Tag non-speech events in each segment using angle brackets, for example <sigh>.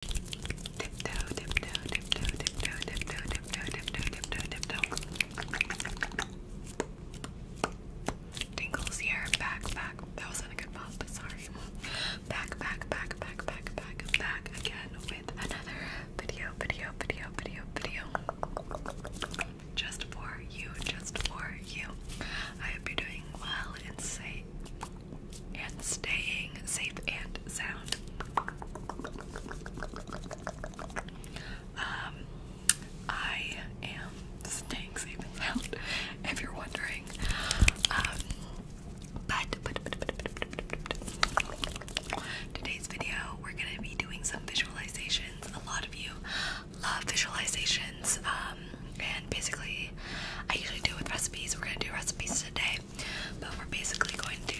Tiptoe, Tingles here, back, back. That wasn't a good pop, sorry. Back, back, back, back, back, back, back again with another video, video, video, video, video. Just for you, just for you. I hope you're doing well and safe and staying safe and sound. Um, I am staying safe and sound, <laughs> if you're wondering. Um, but, today's video, we're gonna be doing some visualizations. A lot of you love visualizations, um, and basically, I usually do it with recipes. We're gonna do recipes today. But we're basically going to,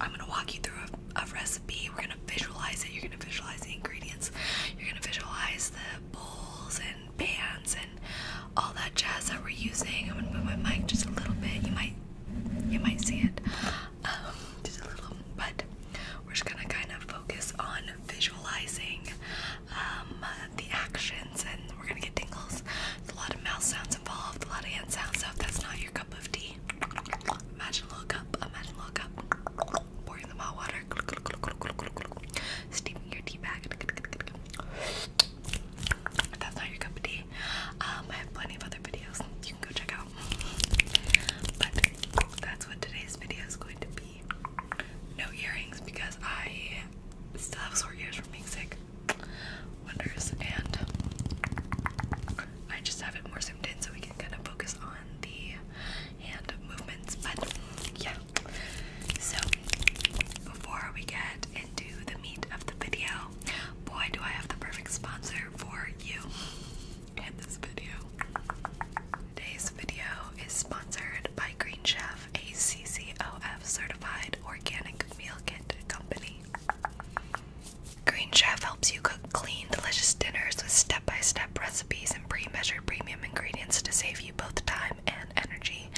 I'm going to walk you through a, recipe. We're going to visualize it. You're going to visualize the ingredients. You're going to visualize the bowls and pans and all that jazz that we're using. I'm going to move my mic just a little bit. You might, you might see it. Um, just a little, but we're just going to kind of focus on visualizing um, the actions, and we're gonna get tingles. There's a lot of mouth sounds involved, a lot of hand sounds, so if that's not your cup of tea, imagine a little imagine a little pouring them hot water, steaming your tea bag. that's not your cup of tea, um, I have plenty of other videos you can go check out. But that's what today's video is going to be. No earrings because I still have sore ears from being sick wonders, and I just have it more zoomed in so we can kind of focus on the hand movements. But yeah, so before we get into the meat of the video, boy, do I have the perfect sponsor for you in this video. Today's video is sponsored by Green Chef of a CCOF certified organic meal kit company. Green Chef helps you cook clean, delicious dinners with step by step recipes and pre measured premium ingredients to save you both time and energy.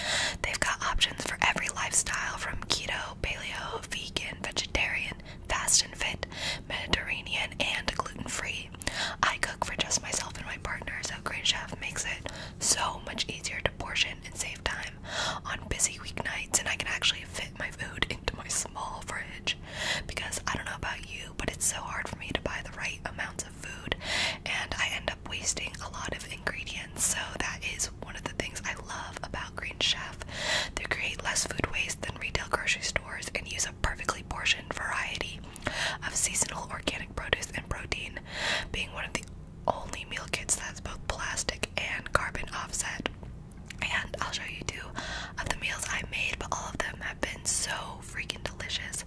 They've got options for every lifestyle from keto, paleo, vegan, vegetarian, fast and fit, Mediterranean, and gluten free. I cook for just myself and my partner, so Green Chef makes it so much easier to portion and save time on busy weeknights, and I can actually fit my food <laughs> into my small fridge because I don't know about you, but it's so hard for me to buy the right amounts of food, and I end up wasting a lot of ingredients. So, that is one of the things I love about Green Chef. They create less food waste than retail grocery stores and use a perfectly portioned variety of seasonal organic produce and protein, being one of the only meal kits that's both plastic and carbon offset. And I'll show you two of the meals I made, but all of them have been so freaking delicious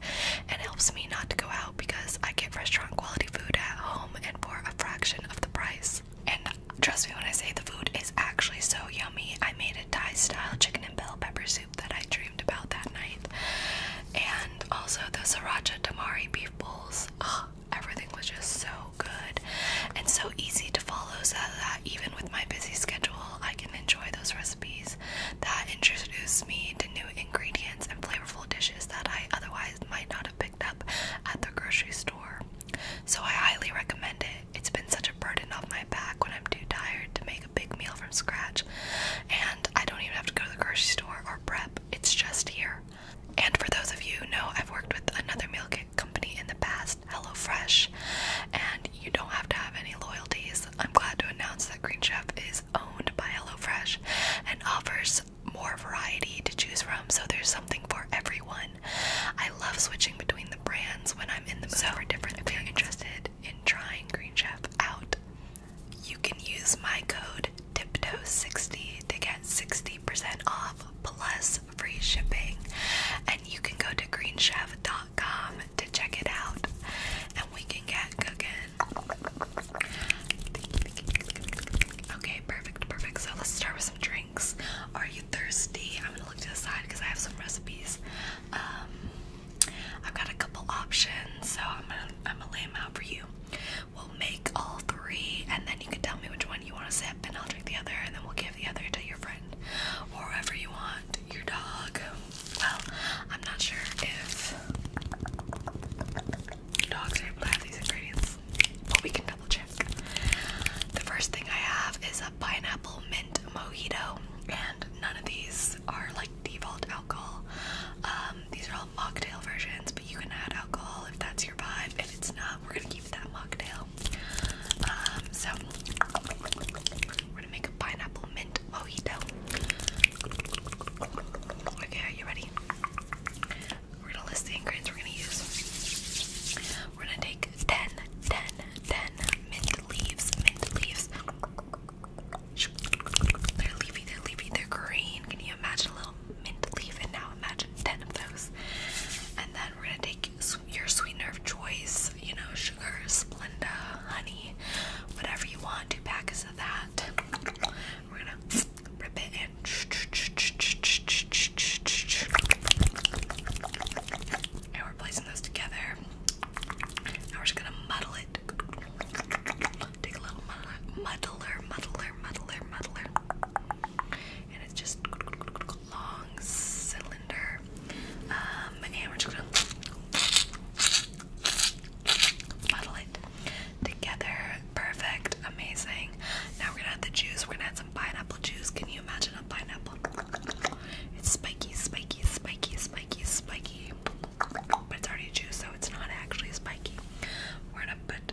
and helps me not to go out because I get restaurant quality food at home and for a fraction of the price. And trust me when I say the food is actually so yummy. I made a Thai style chicken and bell pepper soup that I dreamed about that night. And also the sriracha tamari beef bowls. Oh, everything was just so good and so easy to follow so that even with my busy schedule I can enjoy those recipes that introduce me to new ingredients and flavorful dishes that I otherwise might not have picked up at the grocery store. So I highly recommend it. It's been such a burden off my back when I'm too tired to make a big meal from scratch and I don't even have to go to the grocery store or prep. It's just here. And for those of you who know, I've worked with another meal kit company in the past, HelloFresh, and you don't have to have any loyalties. I'm glad to announce that Green Chef is owned by HelloFresh and offers more variety to choose from, so there's something for everyone. I love switching between the brands when I'm in the mood for different. If you're interested in trying Green Chef out, you can use my code TIPTOE60 to get 60% off plus free shipping. And you can go to greenchef.com to check it out. And we can get cooking. Okay, perfect, perfect. So let's start with some drinks. Are you thirsty? I'm gonna look to the side because I have some recipes. Um, I've got a couple options, so I'm gonna I'm gonna lay them out for you. We'll make all three, and then you can tell me which one you want to sip, and I'll drink the other, and then we'll give the other to your friend or whoever you want, your dog. Well, I'm not sure if dogs are able to have these ingredients, but we can double check. The first thing I have is a pineapple mint mojito, and none of these are like default alcohol. Um, these are all mocktail versions, but you can add alcohol if that's your vibe. If it's not, we're gonna keep that mocktail. Um, so we're gonna make a pineapple mint mojito. Okay, are you ready? We're gonna list the ingredients we're gonna use. We're gonna take 10, mint leaves, mint leaves. They're leafy, they're leafy, they're green. Can you imagine a little um, mint leaf, and now imagine 10 of those. And then we're gonna take your sweetener of choice, you know, sugar, Splenda, honey, whatever you want, two packets of that. We're gonna rip it in. And we're placing those together. Now we're just gonna muddle it. Take a little muddler, muddler, muddler, muddler. And it's just long cylinder. Um, and we're just gonna muddle it together. Perfect, amazing. Now we're gonna add the juice. We're gonna add some pineapple juice. Can you imagine a pineapple? It's spiky, spiky, spiky, spiky, spiky. But it's already juice, so it's not actually spiky. We're gonna put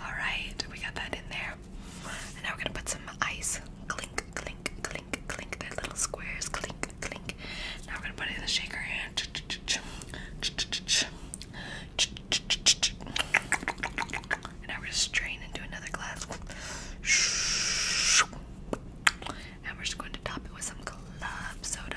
Alright, we got that in there. And now we're gonna put some ice. Clink, clink, clink, clink. They're little squares. Clink, clink. Now we're gonna put it in the shaker and and now we're gonna strain into another glass. And we're just going to top it with some club soda.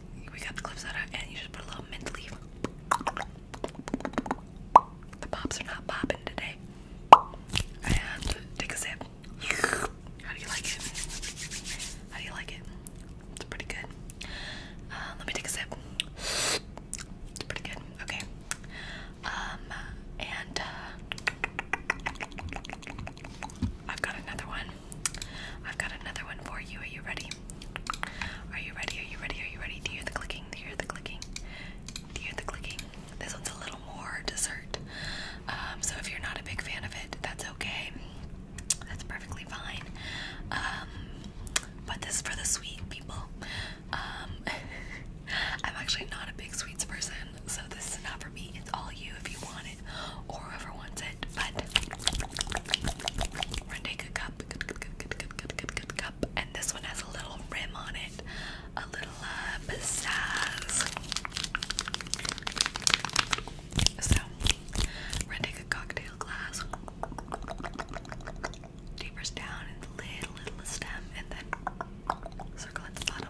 we got the clip soda, and you just put a little mint leaf. The pops are not popping today. And take a sip. How do you like it? How do you like it? It's pretty good. Uh, let me take a sip. It's pretty good. Okay. Um, and uh, I've got another one. I've got another one for you. Are you ready? Are you ready? Are you ready? Are you ready? Do you hear the clicking? Do you hear the clicking? hear the clicking? This one's a little more dessert. Um, so if you're not a big fan of it, that's okay. That's perfectly fine. Um, but this is for the sweet people. Um, <laughs> I'm actually not a big sweets person, so this is not for me. It's all you if you want it or whoever wants it. But a cup, cup, and this one has a little rim on it, a little uh, besides. So a cocktail glass, deepers down in the little stem, and then circle at the bottom.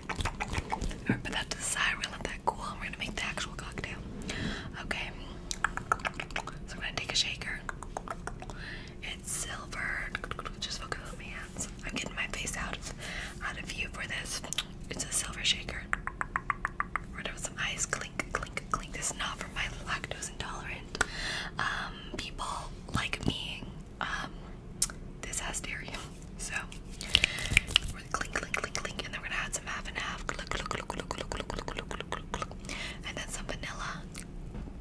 Alright, put that to the side. We're gonna let that cool we're gonna make the actual cocktail. Okay. So I'm gonna take a shaker. It's silver. Just focus on my hands. I'm getting my face out of out of view for this. It's a silver shaker. We're gonna put some ice. Clink, clink, clink. This is not for my lactose intolerant um, people like me. Um, this has dairy. So we're gonna clink, clink, clink, clink, and then we're gonna add some half and half. Look, look, look, look, look, look, look, look, look, look, and then some vanilla.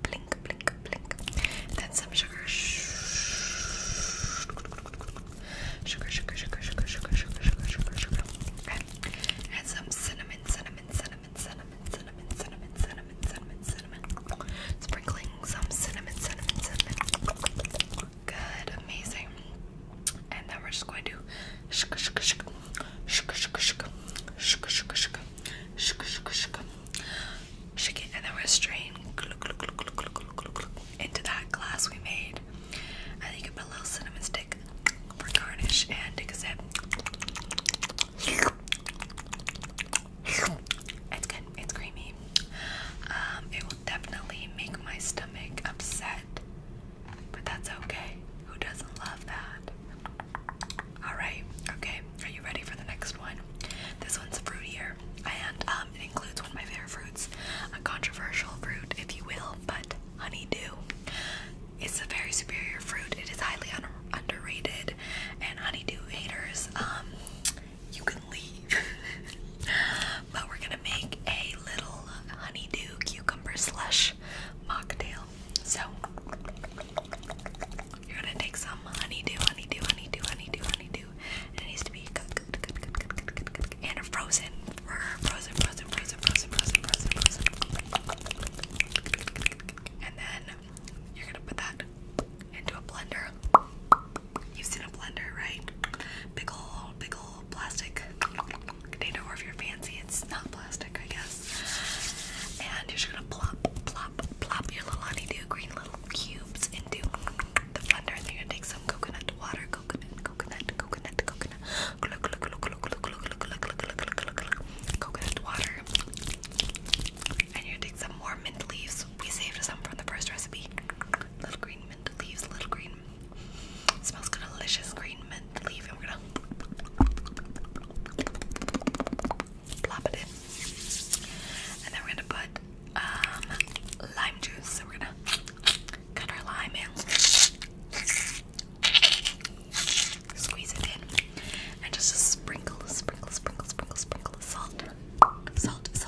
Blink, blink, blink. And then some sugar. Sugar, sugar, sugar, sugar, sugar, sugar, sugar, sugar, sugar. And some cinnamon, cinnamon, cinnamon, cinnamon, cinnamon, cinnamon, cinnamon, cinnamon, cinnamon. Sprinkling some cinnamon, cinnamon, cinnamon. Good, amazing. And then we're just going to shk shk shk shk shk shk shk shk shk shk shk shk shake it and then we're strain into that glass we made. And you can put a little cinnamon stick for garnish and take a sip. It's good, it's creamy. Um, it will definitely make my stomach upset, but that's okay. Who doesn't love that? Alright, okay. Are you ready for the next one? This one's fruitier, and um, it includes one of my favorite fruits, a controversial fruit, if you will, but honeydew. It's a very superior fruit. It is highly underrated, and honeydew haters um, you can leave. <laughs> but we're gonna make a little honeydew cucumber slush mocktail. So you're gonna take some honeydew, honeydew, honeydew, honeydew, honeydew, it needs to be good, good, good, good, good, good, good, good, and frozen, frozen, frozen, frozen, frozen, frozen, frozen, frozen, and then you're gonna put that into a blender. You've seen a blender, right? Big old, big old plastic container, or if you're fancy, it's not plastic, I guess. And you're just gonna plop, plop, plop your little honeydew green little cubes into the blender, and then you're gonna take some coconut water, coconut, coconut, coconut, coconut, coconut water, and you're gonna take some more mint leaves. We saved some from the first recipe. Little green mint leaves, little green. It smells good, delicious green mint leaf, and we're gonna plop it in. And then we're gonna put um, lime juice. So we're gonna cut our lime in, squeeze it in, and just sprinkle, sprinkle, sprinkle, sprinkle, sprinkle, salt, salt, salt,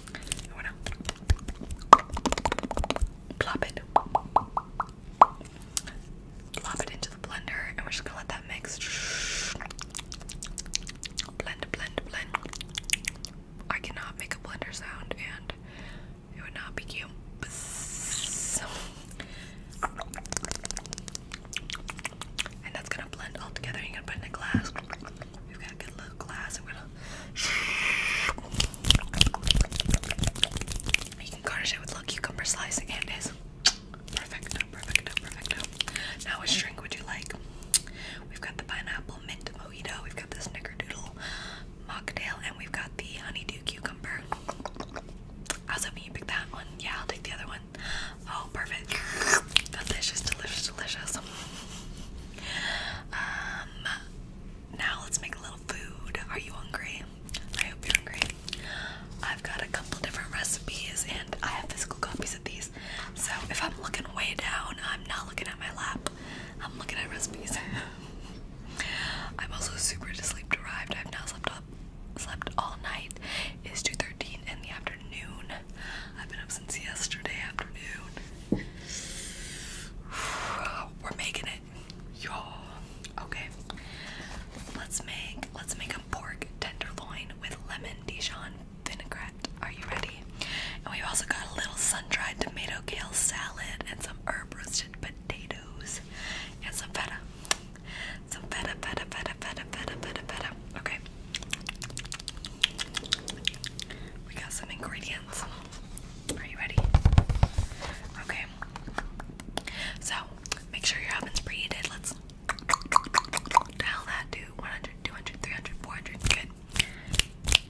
I wanna plop it. Plop it into the blender and we're just gonna let that mix. Blend, blend, blend. I cannot make a blender sound and it would not be cute. And that's gonna blend all together. You're gonna put in a glass. We've got a good little glass You can garnish it with little cucumber slicing and is perfecto, perfecto, perfecto. Now which drink would you like? We've got the pineapple mint mojito, we've got the snickerdoodle mocktail, and we've got the honeydew cucumber. I was hoping you pick that one. Yeah, I'll take the other one. Oh, perfect. Delicious, delicious, delicious. Um, now let's make a little food. Are you hungry? I hope you're hungry. I've got a couple different recipes and I have physical copies of these. So if I'm looking way down, I'm not looking at my lap. I'm looking at recipes. <laughs> I'm also super sleep derived. I've now slept up slept all night. It's 2.13 in the afternoon. I've been up since yesterday afternoon. <sighs> We're making it, y'all. Okay. Let's make let's make a pork tenderloin with lemon Dijon vinaigrette. Are you ready? And we've also got a little sun-dried tomato kale salad and some herb roasted potatoes and some feta. Some feta, feta, feta, feta, feta, feta, feta. Okay. We got some ingredients. Are you ready? Okay. So, make sure your oven's preheated. Let's dial that to 100, 200, 300, 400. Good.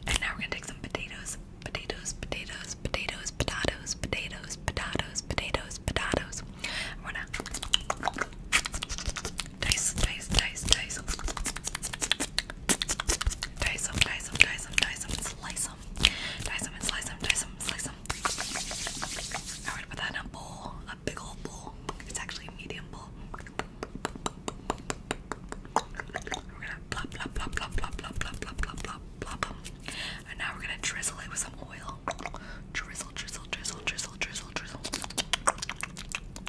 And now we're going to take some potatoes. Potatoes, potatoes, potatoes, potatoes, potatoes, potatoes, potatoes, potatoes. I wanna dice, dice, dice, dice. Dice them, dice them, dice them, dice them, slice them. Dice them and slice them, dice them, slice them. I would put that in a bowl, a big old bowl. It's actually a medium bowl. We're gonna plop, plop, plop, plop, plop, plop, plop, plop, plop, plop, plop them. And now we're gonna drizzle it with some oil. Drizzle, drizzle, drizzle, drizzle, drizzle, drizzle.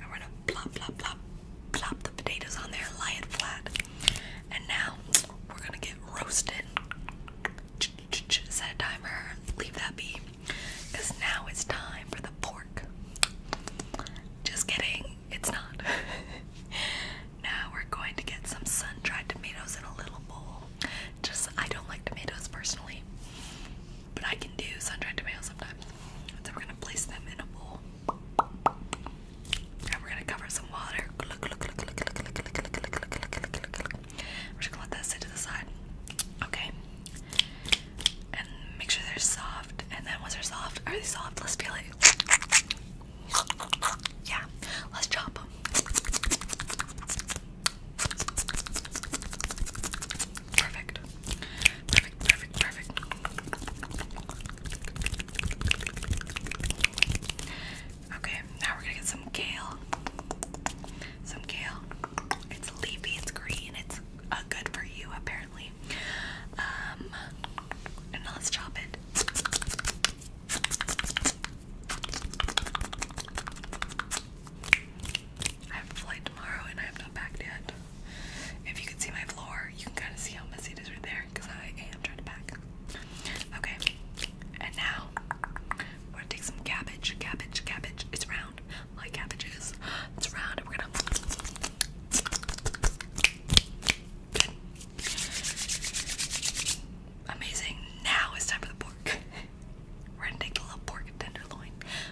I'm gonna plop, plop, plop, plop the potatoes on there, lay it flat. And now we're gonna get roasted. set a timer, leave that be. now it's time for the pork. Just kidding, it's not. <laughs> now we're going to get some sun dried tomatoes in a little bowl. Just, I don't like tomatoes personally but I can do sun-dried tomatoes sometimes. So we're gonna place them in a bowl. And we're gonna cover some water. We're gonna let that sit to the side. Okay. And make sure they're soft. And then once they're soft, are they soft? Let's feel it. Yeah, let's chop them. Perfect. Perfect, perfect, perfect. Okay, now we're gonna get some kale. Some kale. It's leafy, it's green, it's uh, good for you apparently. Um, and now let's chop it. I have a flight tomorrow and I have not packed yet. If you can see my floor, you can kind of see how messy it is right there because I am trying to pack. Okay, and now we're gonna take some cabbage, cabbage, cabbage. It's round, like cabbages. It's round, we're gonna. Amazing. Now it's time for the pork. <laughs> We're gonna take a little pork tenderloin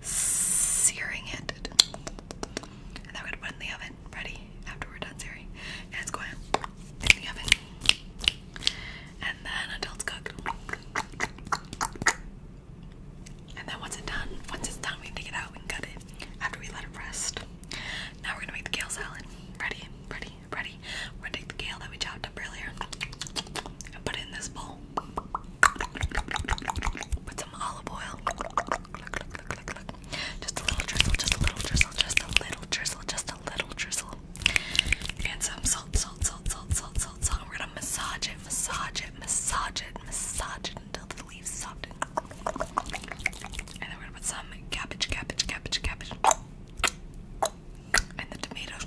searing it, and then we're gonna put in the oven. Ready? After we're done searing, and it's going in the oven, and then until it's cooked. And then once it's done, once it's done, we take it out we can cut it after we let it rest. Now we're gonna make the kale salad. Ready, ready, ready. We're gonna take the kale that we chopped up earlier and put it in this bowl. Put some olive oil. Just a little drizzle, just a little drizzle, just a little drizzle, just a little drizzle. And some salt, salt, salt, salt, salt, salt, salt. We're gonna massage it, massage it, massage it, massage it until the leaves soften. And then we're gonna put some cabbage, cabbage, cabbage, cabbage. And the tomatoes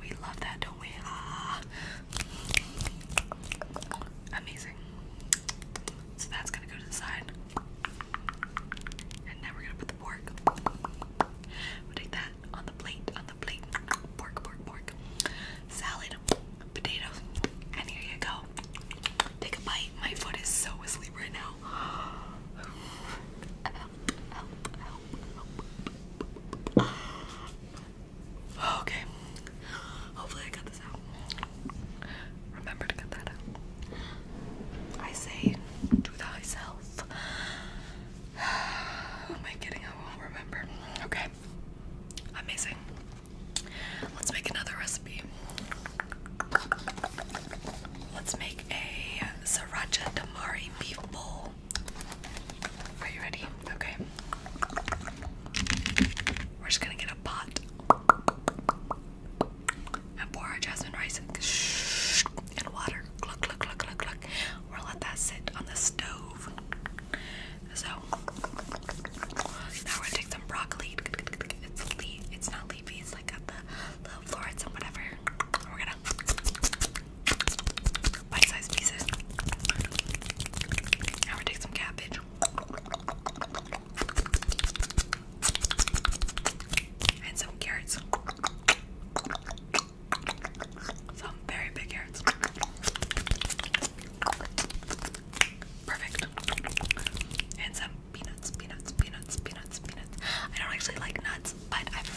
we love that, don't we? Ah. Amazing. So that's gonna go to the side. And now we're gonna put the pork. we that on the plate, on the plate. Pork, pork, pork. Salad, potatoes, and here you go. Take a bite. My foot is so asleep right now. Okay. Hopefully I got this out. Remember to cut that out. I say do thyself. <sighs> am I kidding? I remember. Okay. Amazing. Let's make another recipe. Let's make a sriracha tamari beef bowl. Are you ready? Okay. We're just gonna get a pot and pour our jasmine rice in water. Cluck, cluck, cluck, cluck, cluck. We'll let that sit on the stove. So now we're gonna take some broccoli. It's leaf. It's not leafy like got the little florets and whatever. We're gonna bite-sized pieces. Now we take some cabbage. And some carrots. Some very big carrots. Perfect. And some peanuts, peanuts, peanuts, peanuts, peanuts. I don't actually like nuts, but I've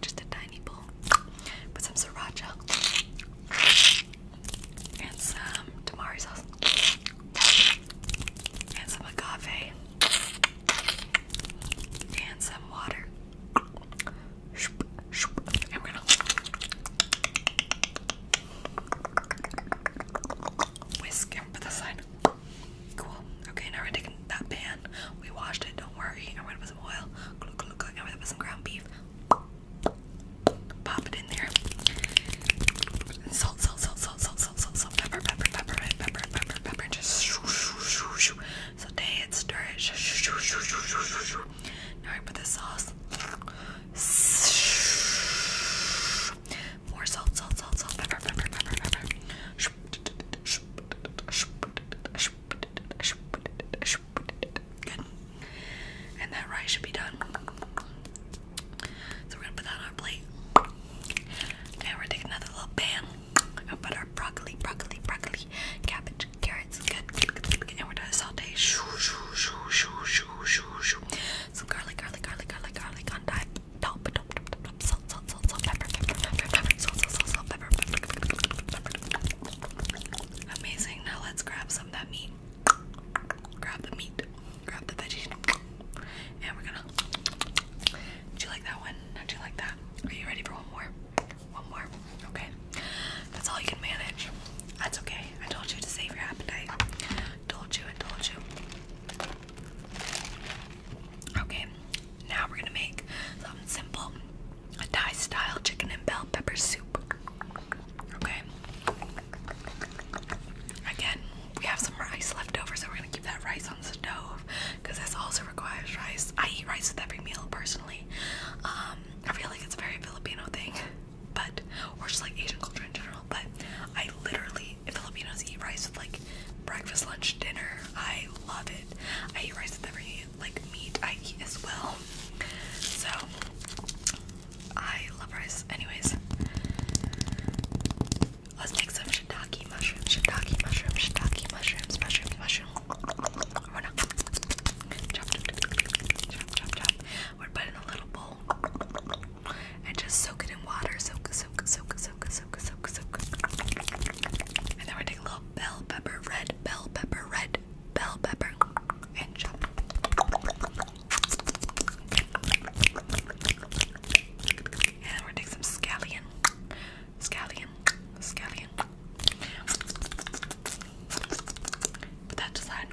just a tiny bowl. Put some sriracha and some tamari sauce and some agave and some water. I'm gonna whisk put this aside. Cool. Okay, now we're that pan. We washed it, don't worry with some oil, glug glug some ground beef. Pop it in there. salt, salt, salt, salt, salt, salt, salt, salt, pepper, pepper, pepper, pepper, pepper, pepper, pepper. Just shoo, shoo, shoo, shoo. So, it, stir it. Shoo, shoo, shoo, shoo, shoo, shoo, shoo. Now I put the sauce. More salt, salt, salt, salt, pepper, pepper, pepper, pepper. And that rice should be done. So we're gonna put that on our plate. Now we're take another little pan and put our broccoli, broccoli, broccoli, cabbage, carrots. Good, good, good, good. And we're gonna saute. Some garlic, garlic, garlic, garlic, garlic on top. Top, top, top, top, top. Salt, Amazing. Now let's grab some that meat. Grab the meat. Grab the veggies. And we're gonna. Do you like that one? Now you like that? Are you ready for one more? One more. Okay. That's all you can manage. That's okay. I told you to save your appetite. Told you, I told you. Okay, now we're gonna make something simple a Thai style chicken and bell pepper soup. Okay, again, we have some rice left over, so we're gonna keep that rice on the stove because this also requires rice. I eat rice with every meal personally. Um, I feel like it's a very Filipino thing, but or just like Asian culture in general. But I literally, Filipinos eat rice with like breakfast, lunch, dinner. I love it. I eat rice with every meal like meat I eat as well. So I love rice. Anyways, let's make some shiitake mushrooms, shiitake mushrooms, shiitake mushrooms, mushroom, mushroom. We're not chop, chop, chop, chop, chop. We're putting a little bowl and just soak it in water. Soak, soak, soak, soak, soak, and then we're taking a little bell pepper, red bell pepper, red bell pepper, and chop. And we take some scallion, scallion, scallion. Put that aside.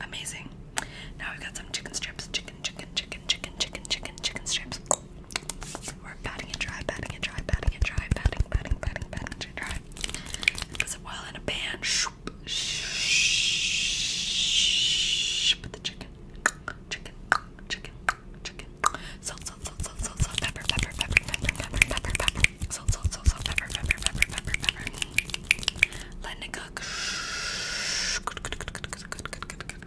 Amazing. Now we've got some chicken strips, chicken, chicken, chicken, chicken, chicken, chicken, chicken strips. We're batting and try, batting and try, batting and try, batting, batting, batting, batting and try. Because while in a band, shoop, shh, put the chicken, chicken, chicken, chicken, salt, salt, salt, salt, salt, salt, pepper, pepper, pepper, pepper, pepper, pepper, pepper, salt, salt, salt, salt, pepper, pepper, pepper, pepper, pepper. Letting it cook. Good, good, good, good, good, good, good, good, good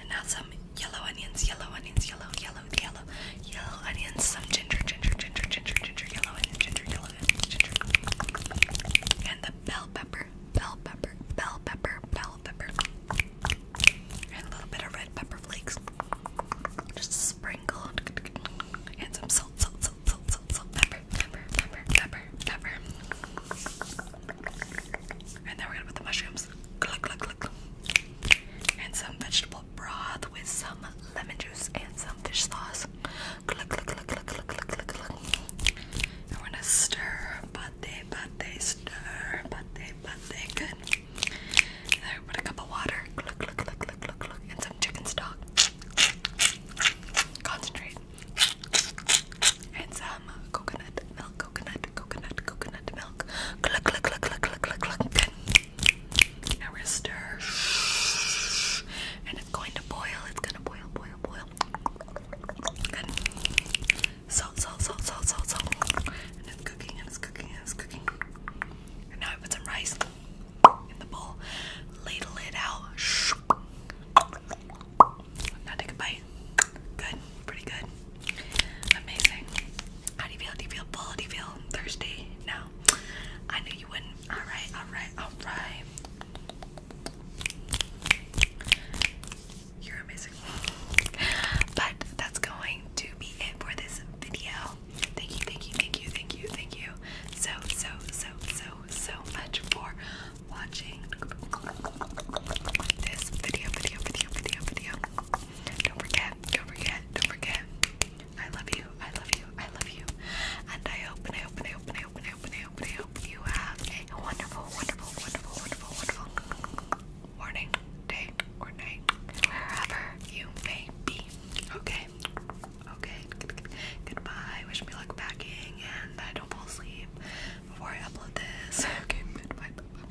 and now some yellow onions, yellow onions, yellow, yellow, yellow, yellow onions, some ginger, ginger, ginger, ginger, ginger, yellow onions, ginger, yellow onions, ginger, and the bell pepper, bell pepper, bell pepper, bell pepper, and a little bit of red pepper flakes, just sprinkled, and some salt, salt, salt, salt, salt, salt, pepper, pepper, pepper, pepper, pepper. And then we're gonna put the mushrooms. Cluck, cluck, cluck and some vegetable broth with some lemon juice and some fish sauce. Click, click, gonna stir, pate, pate, stir, pate, pate, good. And put a cup of water, and some chicken stock. Concentrate. And some coconut milk coconut, coconut, coconut milk. Cluck, cluck, cluck, cluck, cluck, cluck, cluck. Now we stir. And it's going to boil. It's going to boil, boil, boil. Salt, salt, salt, salt, salt, salt. And it's cooking, and it's cooking, and it's cooking. And now I put some rice in the bowl. Ladle it out. Now take a bite. Good, pretty good. Amazing. How do you feel? Do you feel full? Do you feel thirsty? No. I knew you wouldn't. Alright, alright, alright. You're amazing. But that's going to be it for this video. Thank you, thank you, thank you, thank you, thank you so, so, so, so, so much for watching this video, video, video, video, video. Don't forget, don't forget, don't forget. I love you, I love you, I love you. And I hope and I hope and I hope and I hope and I hope and I hope, and I hope you have a wonderful, wonderful, wonderful, wonderful, wonderful morning, day, or night. Wherever you may be. Okay. Okay. Good, good. Goodbye. Wish me luck packing and I don't fall asleep before I upload this. <laughs> Okay, bye. bye, bye.